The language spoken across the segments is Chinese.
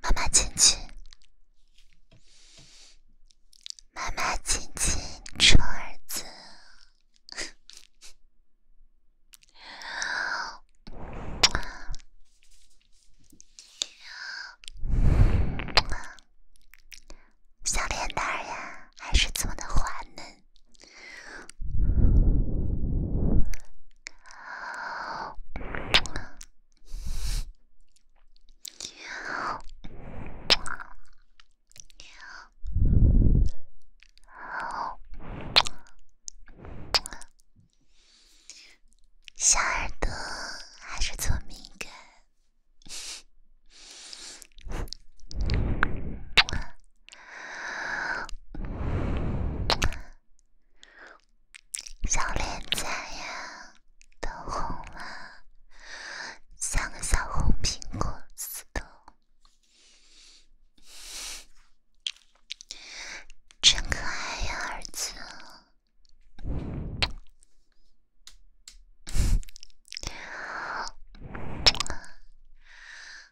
妈妈亲亲，妈妈亲亲，臭儿子，小脸蛋儿呀，还是这么的滑嫩。好，好，好，小耳朵还是最敏感。小脸颊呀，都红了，像个小红苹果似的，真可爱呀，儿子。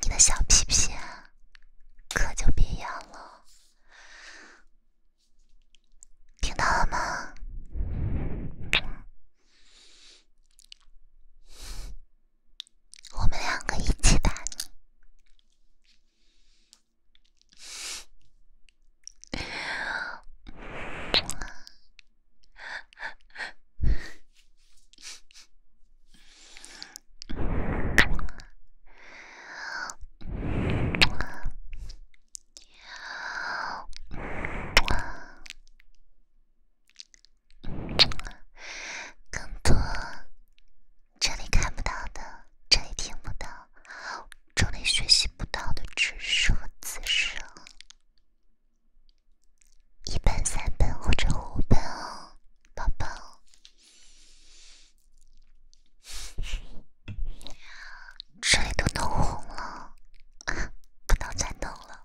你的小屁屁可就别养了，听到了吗？我们两个一起打你，更多这里看不到的，这里听不到，这里学习不到的知识和知识。一本、三本或者五本哦，宝宝。这里都弄红了，不能再弄了。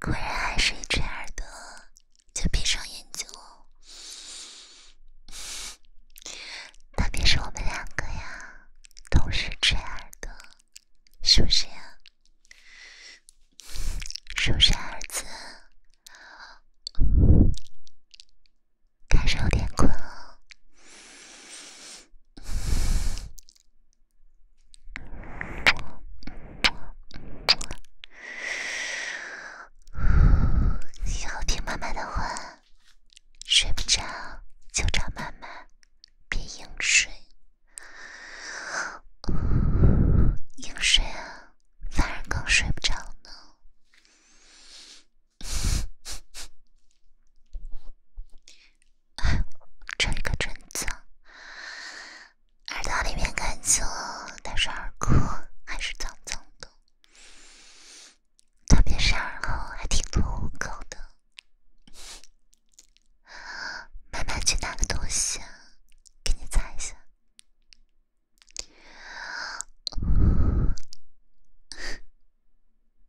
果然还是一只耳朵就闭上眼睛，特别是我们两个呀，同时吹耳朵，是不是呀？是不是儿子？开始有点困了。要听妈妈的话，睡不着就找妈妈，别硬睡。硬睡啊，反而更睡不着呢。哎，这个真脏！耳朵里面干净，但是耳廓 还是脏脏的，特别是耳后还挺多污垢的。慢慢去拿个东西给你擦一下。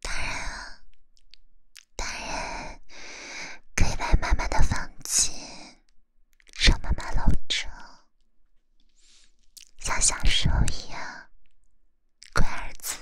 当然，啊，当然，可以来妈妈的房间，让妈妈搂着，像小时候一样，乖儿子。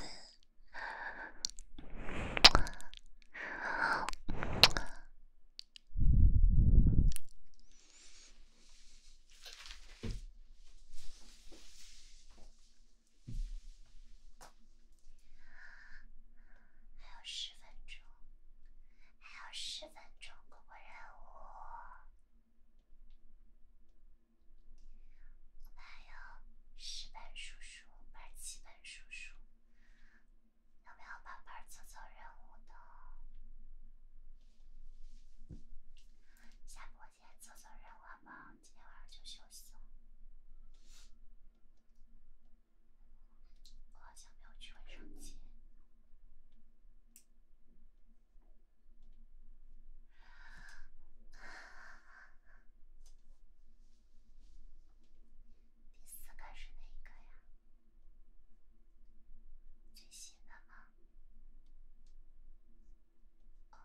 还有十分钟，还有十分钟，过过任务。我们还有十本书书，不是七本书书。有没有宝贝儿做做任务的？下播前做做任务好吧，今天晚上就休息了。我好像没有去卫生间。第四个是哪个呀？最新的吗？哦。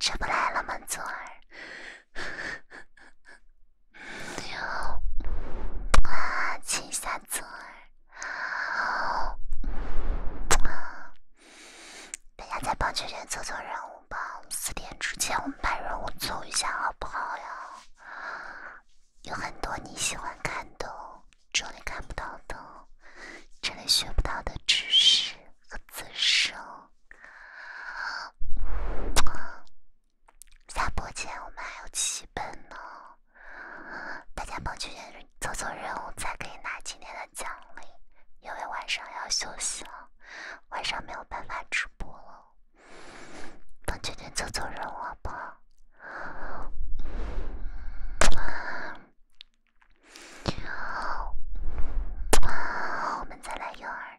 吃不来了吗，左儿？啊，亲下左儿。大家再帮圈圈做做任务吧，四点之前我们把任务做一下，好不好呀？有很多你喜欢看的、这里看不到的、这里学不到的知识和知识。下播前我们还有七本呢，大家帮圈圈做做任务，才可以拿今天的。奖励，因为晚上要休息了，晚上没有办法直播了。等今天走走人了吧。我们再来摇耳，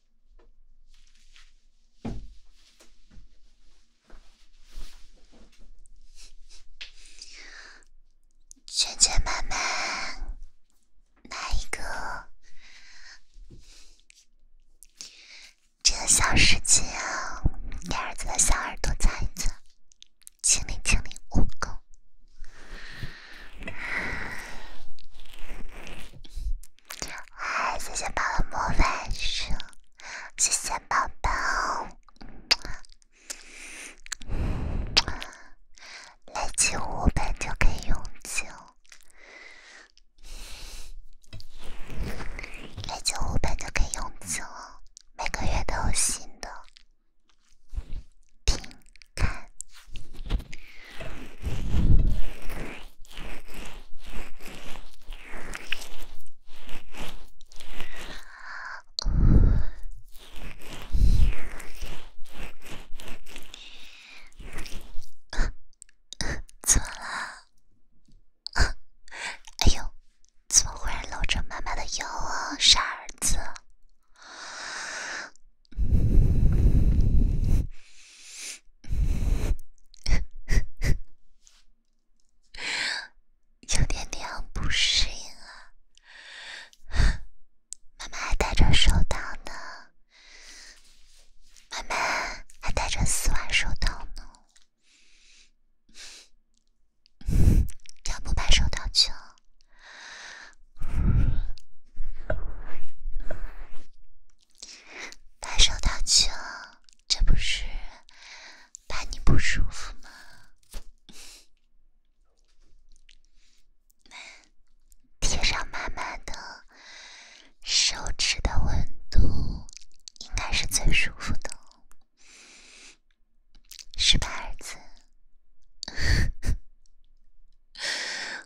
娟娟妈妈，来一个这个小事情，给儿子的小耳朵擦一擦，清理清理污垢。嗨，谢谢宝宝魔法书，谢谢宝宝，累积五本就可以永久，累积五本就可以永久，每个月都有新的，听看。怎么了？哎呦，怎么忽然搂着妈妈的腰啊，傻儿子！有点点不适应啊，妈妈还戴着手套呢，妈妈还戴着四万手套呢，要 不把手套取了？把手挡去了，这不是怕你不舒服吗？贴上妈妈的手指的温度，应该是最舒服的，是吧，儿子？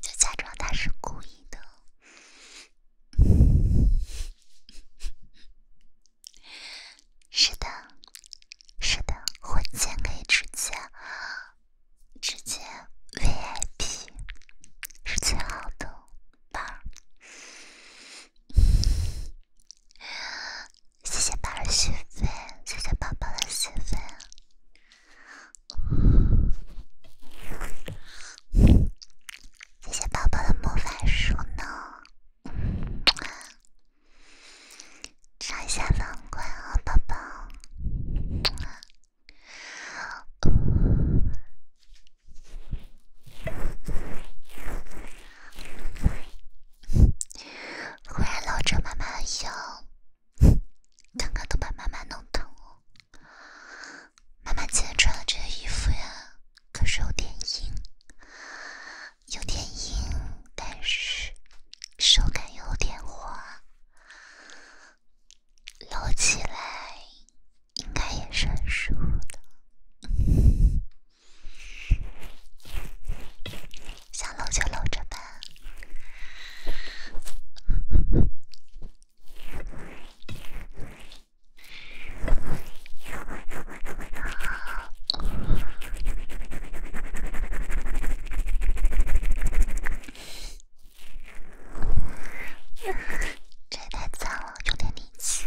就假装他是故意的。是的，是的，花钱可以直接，直接 VIP 是最好的吧。谢谢宝宝的积分，谢谢宝宝的积分，谢谢宝宝的魔法书呢，查一下反馈啊，宝宝。忽然搂着妈妈腰，刚刚都把妈妈弄疼了。妈妈今天穿的这衣服呀，可是有点硬，有点硬，但是手感有点滑，搂起来应该也算舒服的。想搂就搂着吧，这太脏了，有点力气。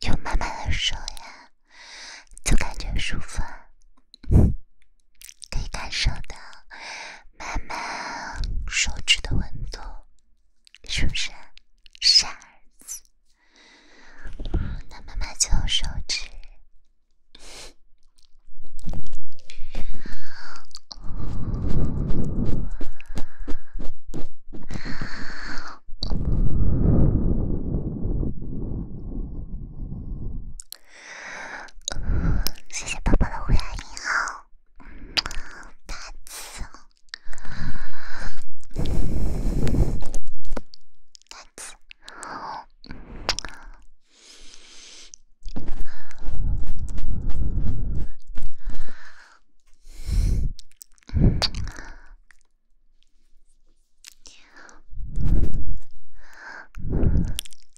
就慢慢的说呀，总感觉舒服，可以感受到妈妈手指的温度。是不是傻儿子？那妈妈就用手指。谢谢爸爸的五牙零号。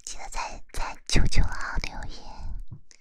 记得啊，在九九号留言。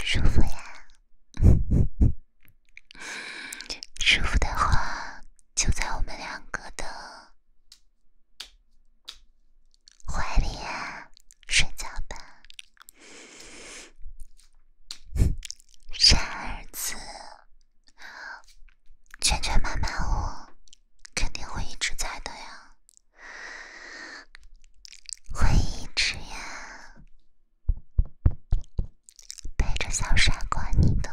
舒服呀，舒服的话就在我们两个的怀里呀，睡觉吧，傻儿子，圈圈妈妈我肯定会一直在的呀。会一直呀，陪着小傻瓜你都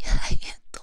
越来越多。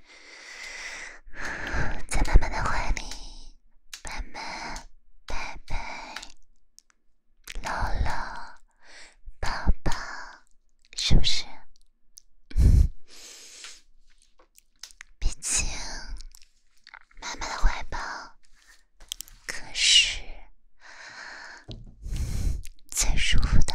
在妈妈的怀里，妈妈、爸爸、姥姥、爸爸，是不是？毕竟妈妈的怀抱可是最舒服的。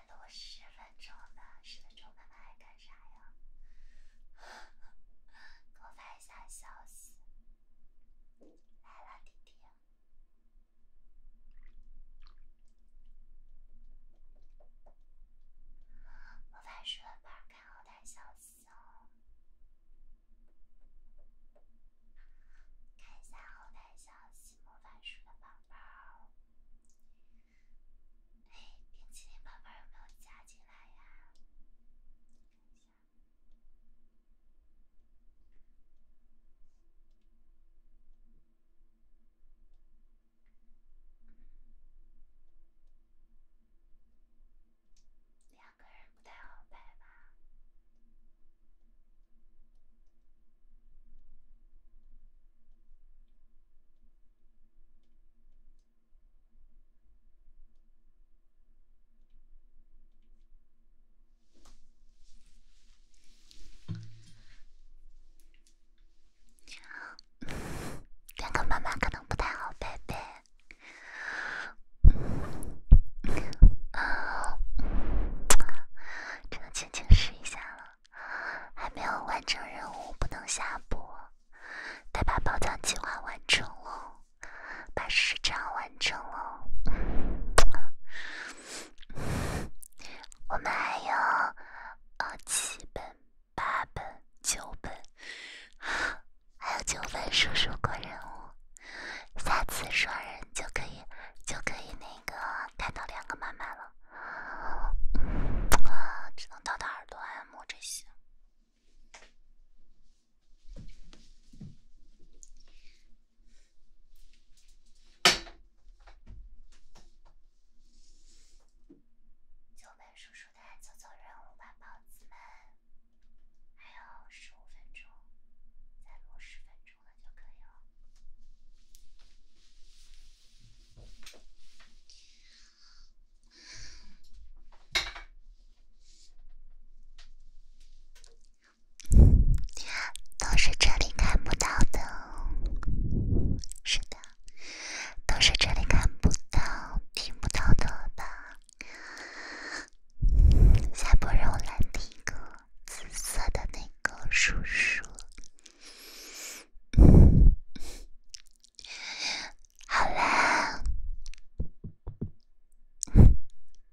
录十分钟吧，十分钟，妈妈还干啥呀？给我发一下消息，来了，弟弟。魔法树的宝看后台消息哦。看一下后台消息，魔法书的宝宝。哎，冰淇淋宝宝有没有加进来呀？两个人不太好拍吧。但跟妈妈可能不太好拜拜，只能轻轻试一下了。还没有完成任务，不能下播。得把宝藏计划完成了，把时长完成了。我们还有呃七本、八本、九本，还有九本叔叔过任务。下次双人就可以，就可以那个看到两个妈妈了。啊，只能到达耳朵按摩这些。九位叔叔的早操任务吧，包子们，还有十五分钟，再磨十分钟。都是这里看不到的，是的，都是这里看不到、听不到的吧？下夏波罗兰，那个紫色的那个叔叔。好啦，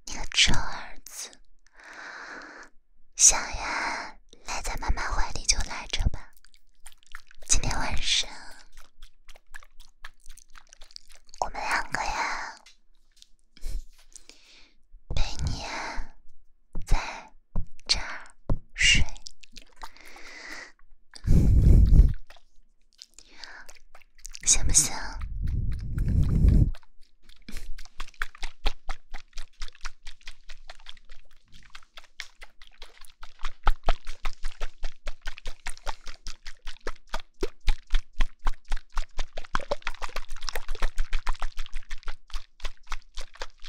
你个臭儿子，想呀，赖在妈妈怀里就赖着吧。今天晚上我们两个呀，陪你，在。这儿，睡，行不行？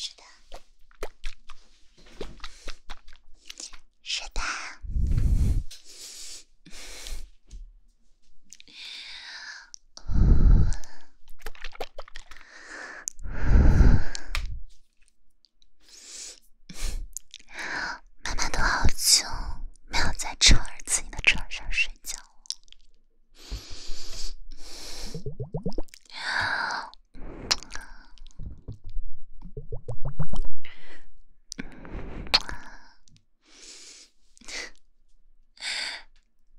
是的，是的。妈妈都好久没有在儿自己的床上睡觉了，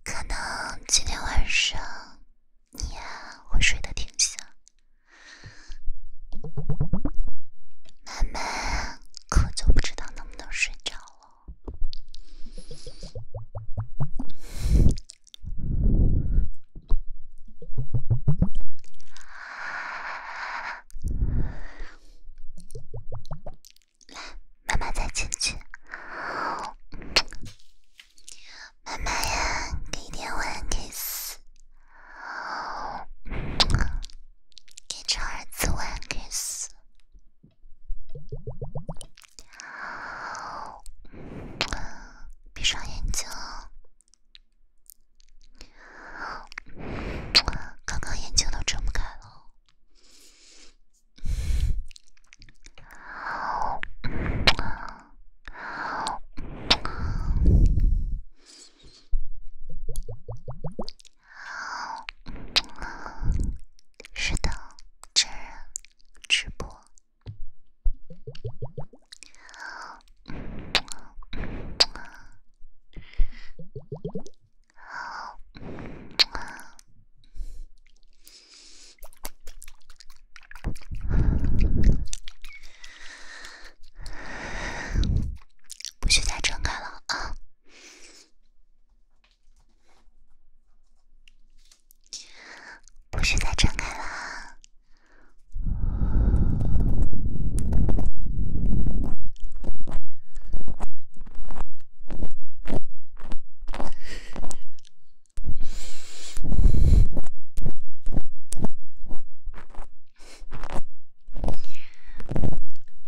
可能今天晚上。你呀，会睡得挺香，慢慢可就不知道能不能睡着了。来，妈慢再亲亲。妈妈呀，给点吻，给死！给臭儿子吻，给死！闭上眼睛，刚刚眼睛都睁不开了。是的，真人直播。不许再睁开了啊！不许再睁开了！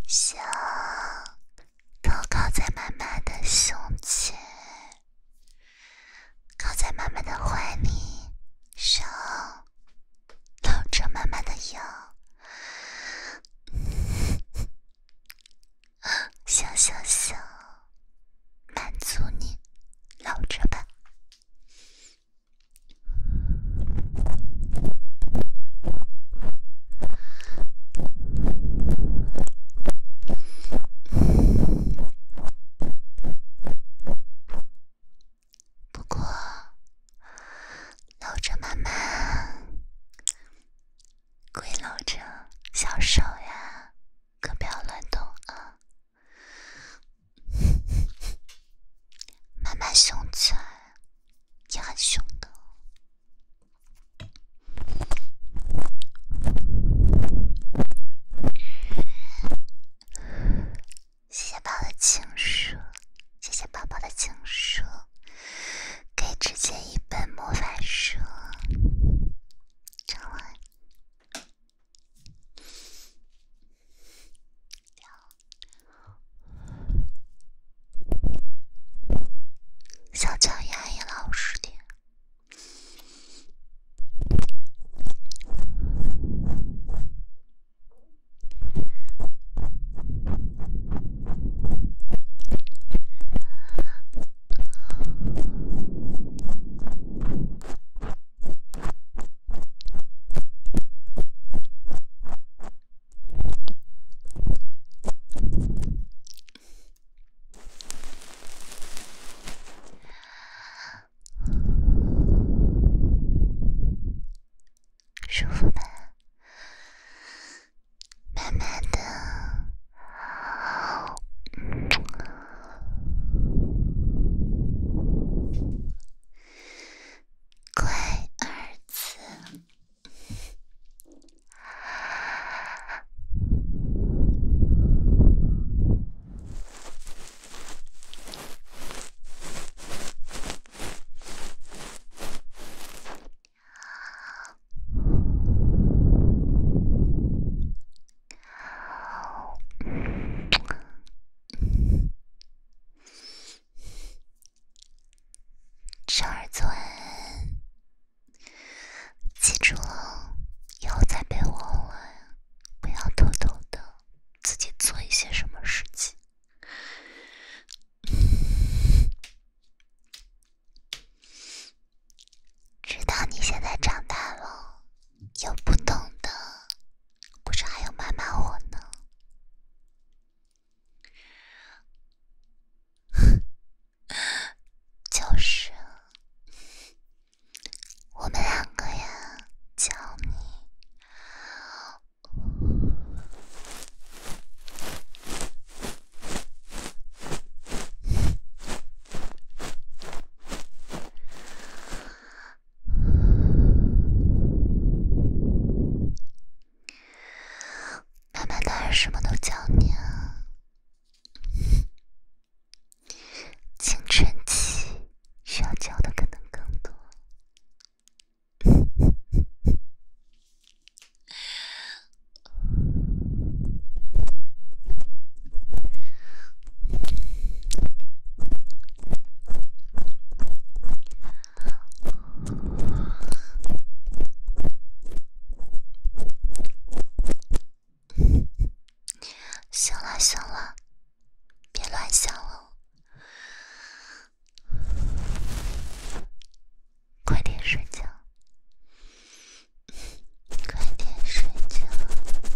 想，头靠在妈妈的胸前，靠在妈妈的怀里，手搂着妈妈的腰，想想想，满足你，搂着吧。不过，搂着妈妈，归搂着小手呀，可不要乱动啊！妈妈凶起来也很凶的。谢谢宝宝的情书，谢谢宝宝的情书，可以直接一本魔法书，就完。小脚丫也老实点。舒服吗？慢慢的。乖儿子。好。小儿子，记住了，以后在被窝里不要偷偷的自己做一些什么事情。知 道你现在长大了。有不懂的，不是还有妈妈我呢？就是我们两个呀，教你。妈妈当然什么都教你啊。青春期需要教的可能更多。行了行了，别乱想了，快点睡觉，快点睡觉。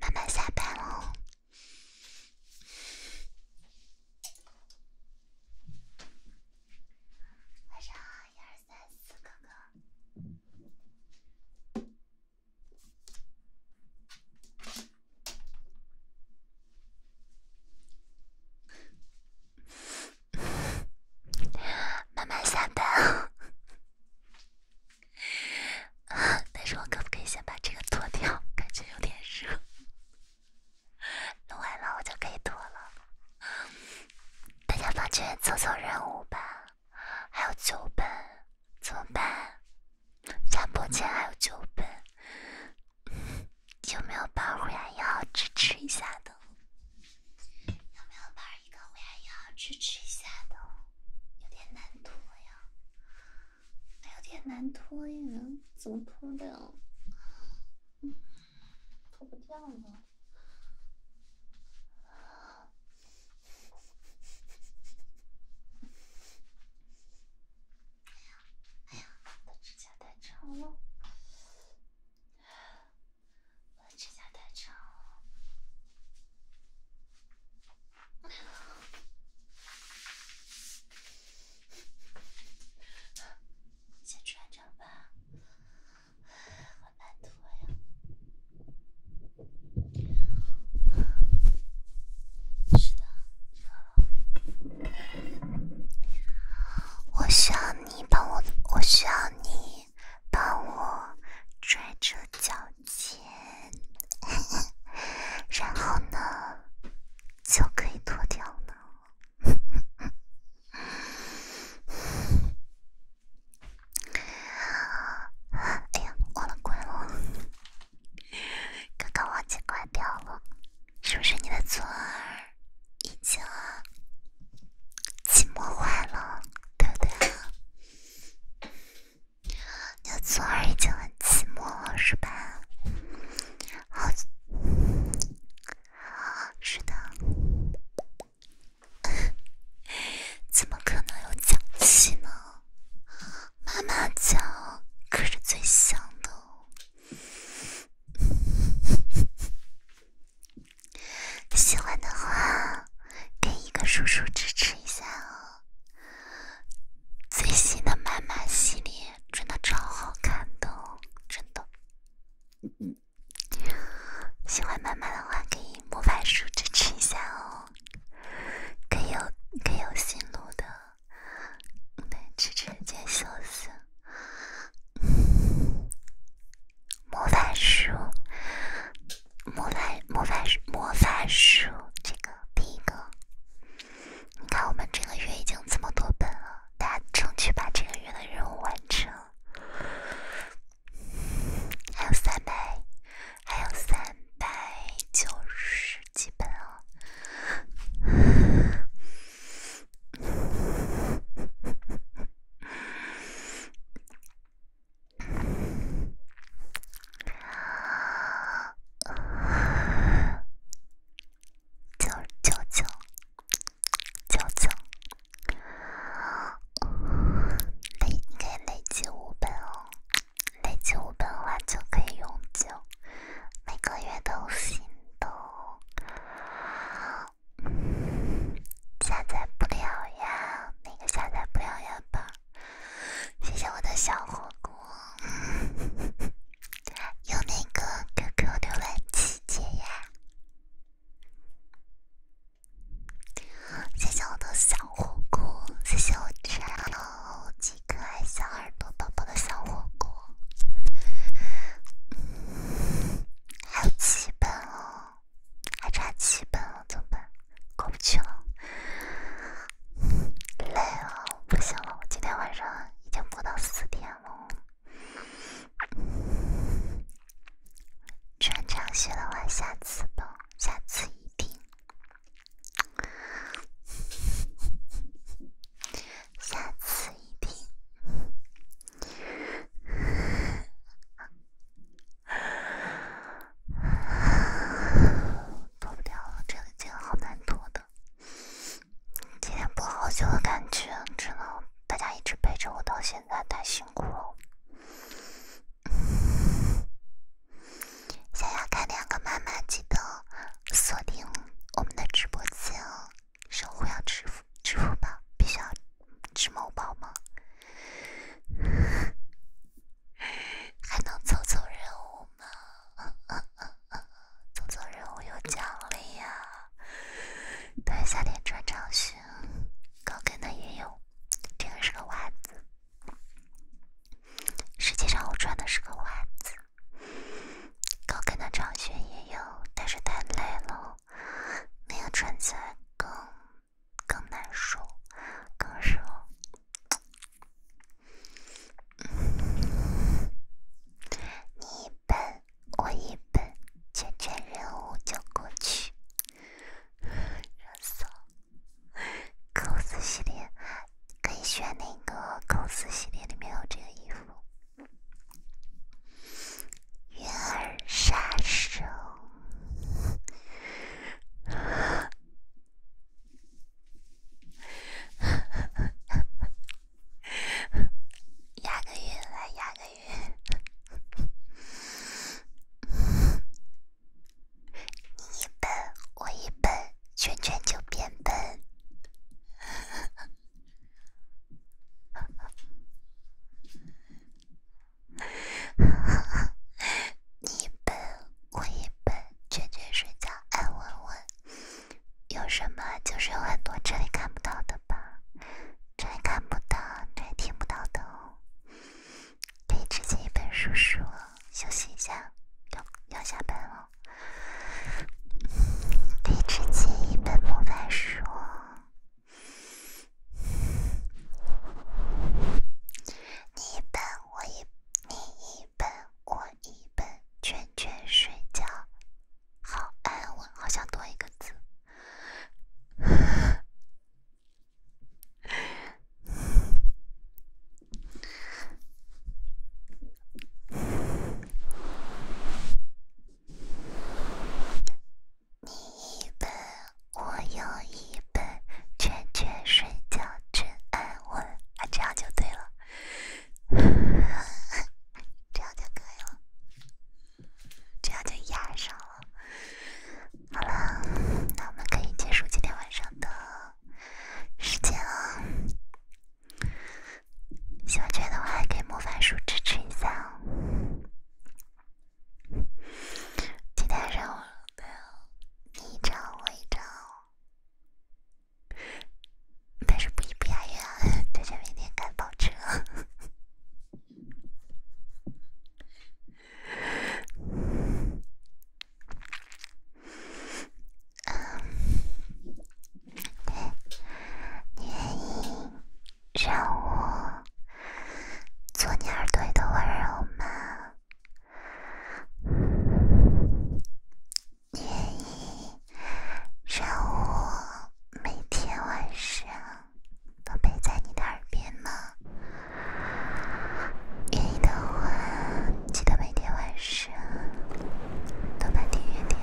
妈妈下班了。晚上好，一二三四哥哥。慢慢下单，但是我可不可以先把这个脱掉？感觉有点热，弄完了我就可以脱了。大家发圈做做任务吧，还有九本，怎么办？下播前还有九本。有没有帮虎牙一号支持一下的？有没有帮一个虎牙一号支持一下的？有点难脱呀，有点难脱呀，怎么脱的呀？脱不掉呢。哎呀，哎呀，我的指甲太长了。指你帮我，我需要你帮我拽着脚尖，然后呢就可以脱掉了。哎呀，忘了关了！刚刚忘记关掉了。是不是你的左耳已经寂寞坏了，对不对？你的左耳已经很寂寞了，是吧？好，是的。怎么可能有脚气呢？妈妈脚可是最香的。喜欢的话，给一个叔叔支持一下哦。最新的妈妈系列真的超好看的，真的。喜欢妈妈的话，给魔法叔支持一下哦。可以有可以有新录的，对，支持见秀秀。魔法书，魔法魔法魔法书，这个第一个，你看我们这个月已经这么多本了，大家争取把这个月的任务完成，还有三百，还有三百九十几本啊。九九九九九，累你可以累积五本哦，累积五本的话就可以永久，每个月都心动。下载不了呀，那个下载不了呀吧。谢谢我的小火锅，有哪个 QQ 浏览器姐呀？谢谢我的小火锅，谢谢我这样好几可爱小耳朵宝宝的小火锅。还有七本哦，还差七本了，怎么办？过不去了，累了，不行了，我今天晚上已经播到四点了。穿长靴的话，下次吧，下次一定。下次一定脱掉了，这个好难脱的，今天好久的感觉，大家一直陪着我到现在太辛苦了。想要看两个妈妈记得锁定我们的直播间哦。生活要支付支付宝，必须要支某宝吗？还能凑凑任务吗？凑凑任务有奖励呀。对，夏天穿长靴，高跟的也有。这个是个袜子，实际上我穿的是个袜子。高跟的长靴也有，但是太累了。没有穿起来更更难受，更热。你一本我一本，全全任务就过去。热死了 cos 系列可以选那个 cos 系列里面有这个衣服。月儿杀手，压个韵来压个韵，你一奔我一奔，圈圈就变奔。你本、我也笨，娟娟睡觉安稳稳。有什么？就是有很多这里看不到的吧？这里看不到，这里听不到的哦。可以直接一本书说，休息一下，要要下班了。可以直接一本模板说。你一本我一，你一本我一本，全全睡觉，好安稳。好想多一个字。你一本，我有一本，蜷蜷睡觉真安稳啊，这样就对了，这样就可以了，这样就压上了。好了，那我们可以结束今天晚上的时间了。喜欢娟的话，可以魔法书支持一下哦。今天上午，你一张我一张，但是不一不押韵，大家明天赶跑车。嗯，你。愿意。让我做你耳朵里的温柔吗？你愿意让我每天晚上都陪在你的耳边吗？愿意的话，记得每天晚上都能听源点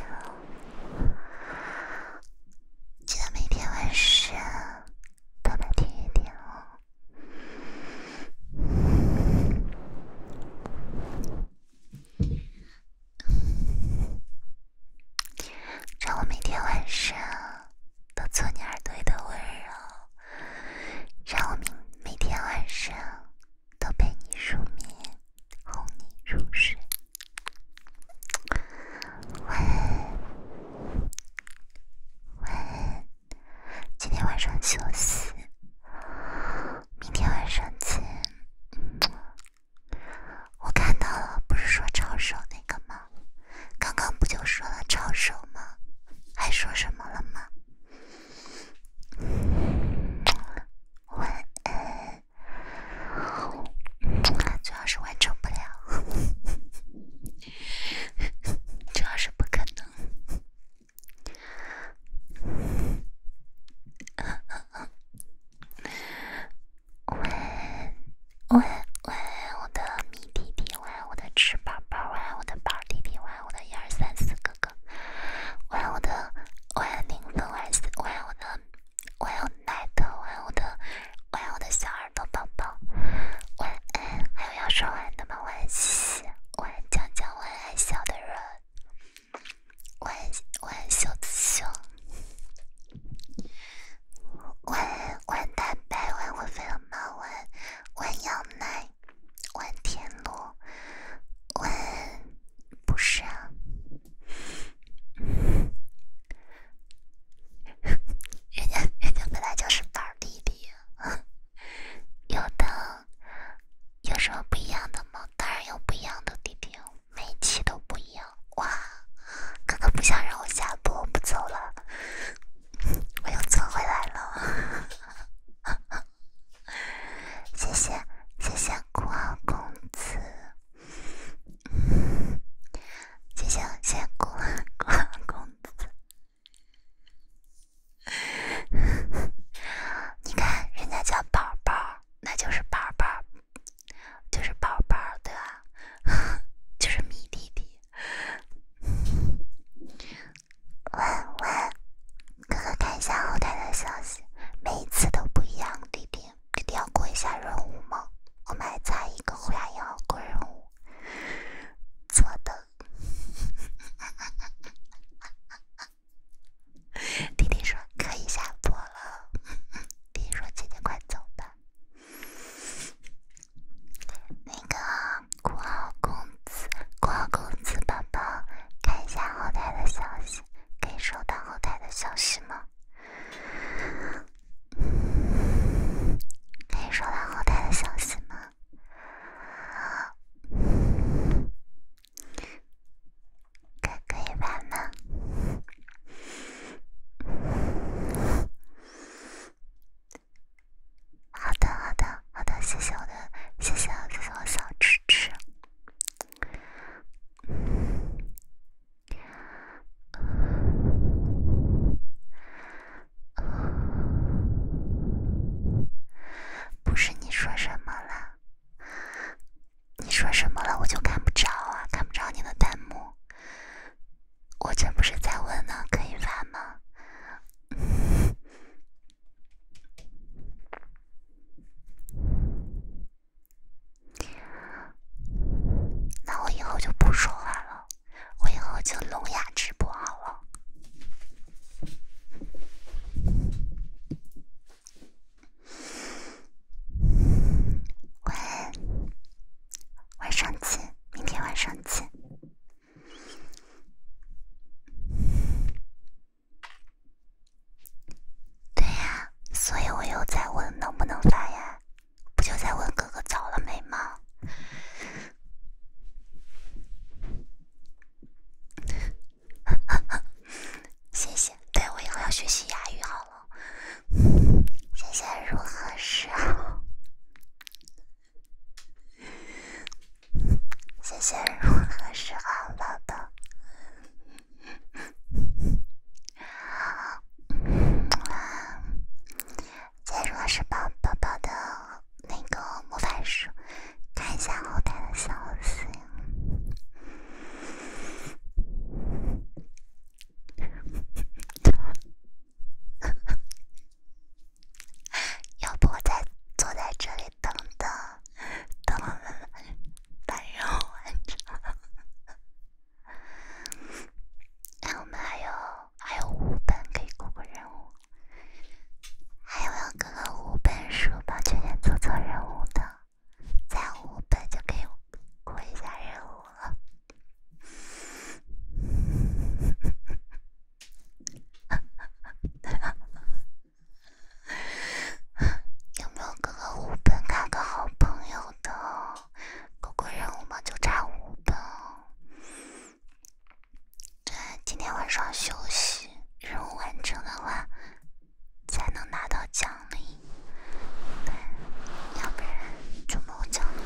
记得每天晚上都能听一听哦，让我每天晚上都做你耳朵里的温柔，让我每天晚上都陪你入眠，哄你入睡。晚安，晚安，今天晚上休息，明天晚上见。我看到了，不是说抄手那个吗？刚刚不就说了抄手吗？还说什么了吗？晚安。主要是完成不了，主要是不可能。喂，喂，喂，我的米弟弟，喂，我的吃饱饱，喂，我的宝弟弟，喂，我的一二三四哥哥，喂，我的，喂，零分，喂，四，喂，我的。晚安，奶的，晚安，我的，晚安，我的小耳朵宝宝，晚安，还有要说话的吗？晚安，晚安，江江，晚安，小的人，晚安，晚安，晚晚白，晚我晚晚羊奶，晚田螺，晚不是啊。人家人家本来就是宝弟弟，有的有什么不一样的吗？当然有不一样的弟弟，每期都不一样。哇，哥哥不想让我下播，我不走了，我又钻回来了。谢谢谢谢酷傲公子。谢谢谢公公公子，你看人家叫宝宝，那就是宝宝，就是宝宝，对吧？就是米弟弟，嗯。文文哥哥看一下后台的消息，每一次都不一样，弟弟。一定要过一下任务吗？我们还差一个牙一要过任务，坐的。弟弟说可以下播了。弟弟说姐姐快走吧。那个酷号公子，酷号公子宝宝，看一下后台的消息，可以收到后台的消息吗？可以收到后台的消息吗？可以玩吗？好的，好的，好的，谢谢我的，谢谢我，谢谢我小吃吃。不是你说什么了？你说什么了？我就看不着啊，看不着你的弹幕。我这不是在问呢，可以发吗？那我以后就不说话了，我以后就聋哑直播好了。晚晚上见，明天晚上见。对呀，所以我又在问能不能发呀。不就在问哥哥早了没吗？谢谢，对我以后要学习哑语好了。谢谢，如何是？好？谢谢，如何是好了的？好，再入手宝宝宝的那个魔法书，看一下后台的消息。要不我再坐在这里等等，等我们把任务完成。哎，我们还有还有五本可以过过任务，还有没有哥哥五本书把圈圈做做任务的，再五本就可以过一下任务了。有没有哥哥五本看个好朋友的？过关任务嘛，就差五本。对，今天晚上休息，任务完成的话才能拿到奖励，要不然就没有奖励。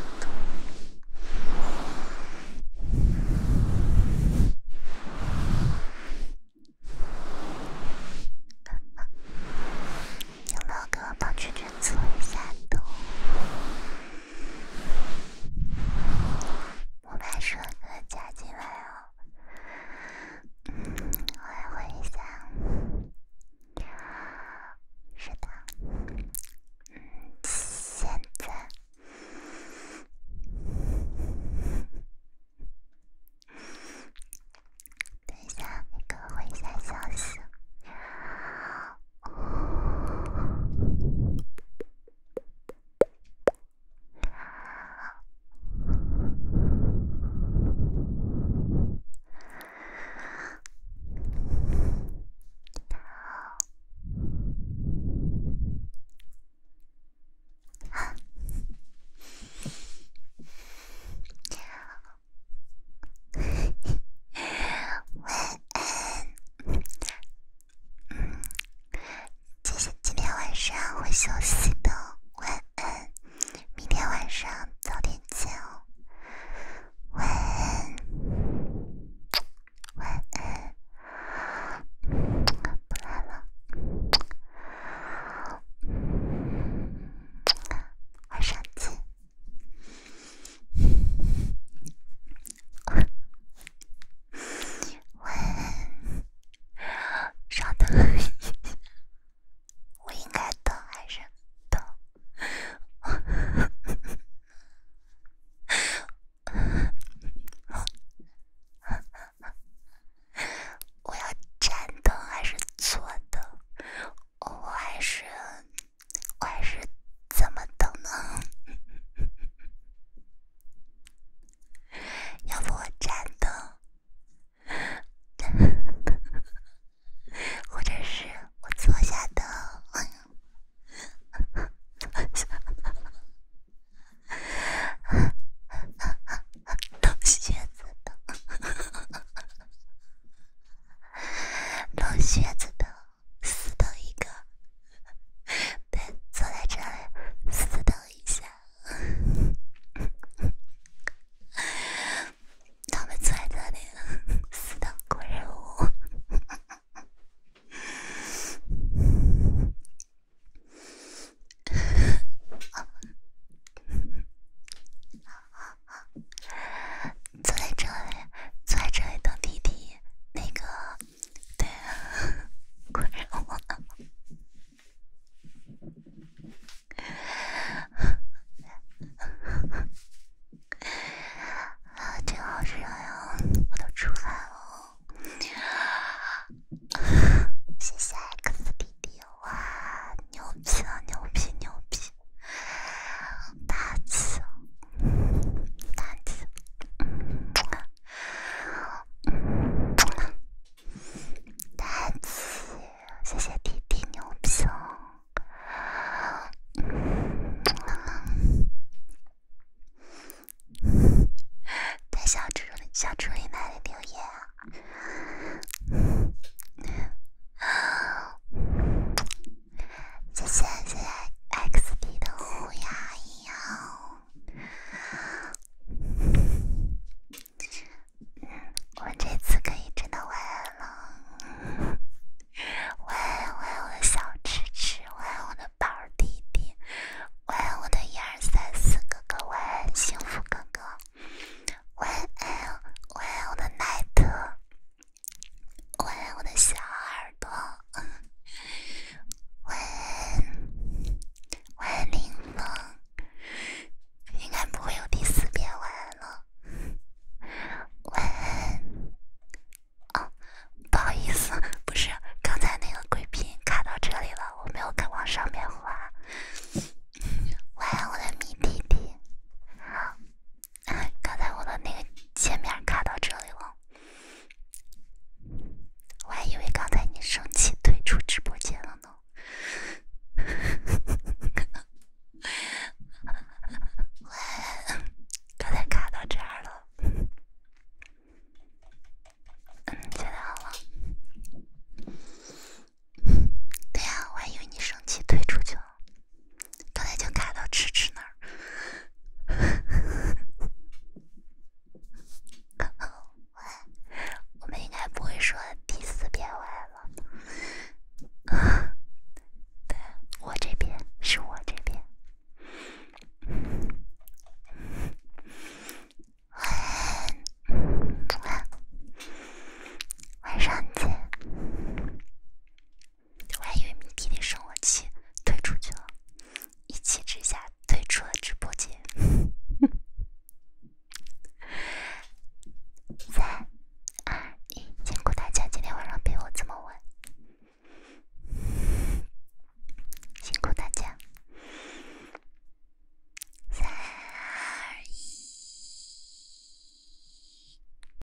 有没有给我帮圈圈搓一下的？我把帅哥加进来哦，嗯，我会想，是的，现在。等一下，你给我回一下消息。晚安，嗯，其实今天晚上会休息的，晚安，明天晚上早点见哦，晚安，晚安，不来了，晚安，再见。我稍等我应该等还是等？我要站等还是坐等？我还是。我还是怎么等呢？要不我站灯，或者是我坐下灯，下鞋子灯。老靴子的死等一个，对，坐在这里死等一下，他们坐在这里死等怪物。坐在这里，坐在这里等弟弟，那个，对啊，困热啊！啊，真好热啊！我都出汗了。谢谢 X 弟弟，哇，牛逼啊，牛逼牛逼。大智，大智，大智，谢谢弟弟牛逼！大小猪猪、小猪猪奶奶留言啊！谢谢谢谢 X D 的虎牙一哦，我这次可以真的喂了，喂喂我的小芝芝，喂我的宝弟弟，喂我的一二三四哥哥，晚安。幸福哥哥，晚安。我的奈特。喂，我的小耳朵。晚安，晚安，林应该不会有第四遍晚安了。晚安。哦，不好意思，不是，刚才那个贵宾卡到这里了，我没有敢往上面滑。晚安，我的米弟弟。刚才我的那个界面卡到这里了，我还以为刚才你生气退出直播间了呢。喂，刚才卡到这儿了。嗯，现在好了。对呀，我还以为你生气退出去了。刚才就卡到吃吃那儿。我们应该不会说第四遍喂了。对，我这边是我这边。晚安，晚上见。我还以为你弟弟生我气，退出去了。一气之下退出了直播间。三、二、一，辛苦大家今天晚上陪我这么晚，辛苦大家。三、二、一。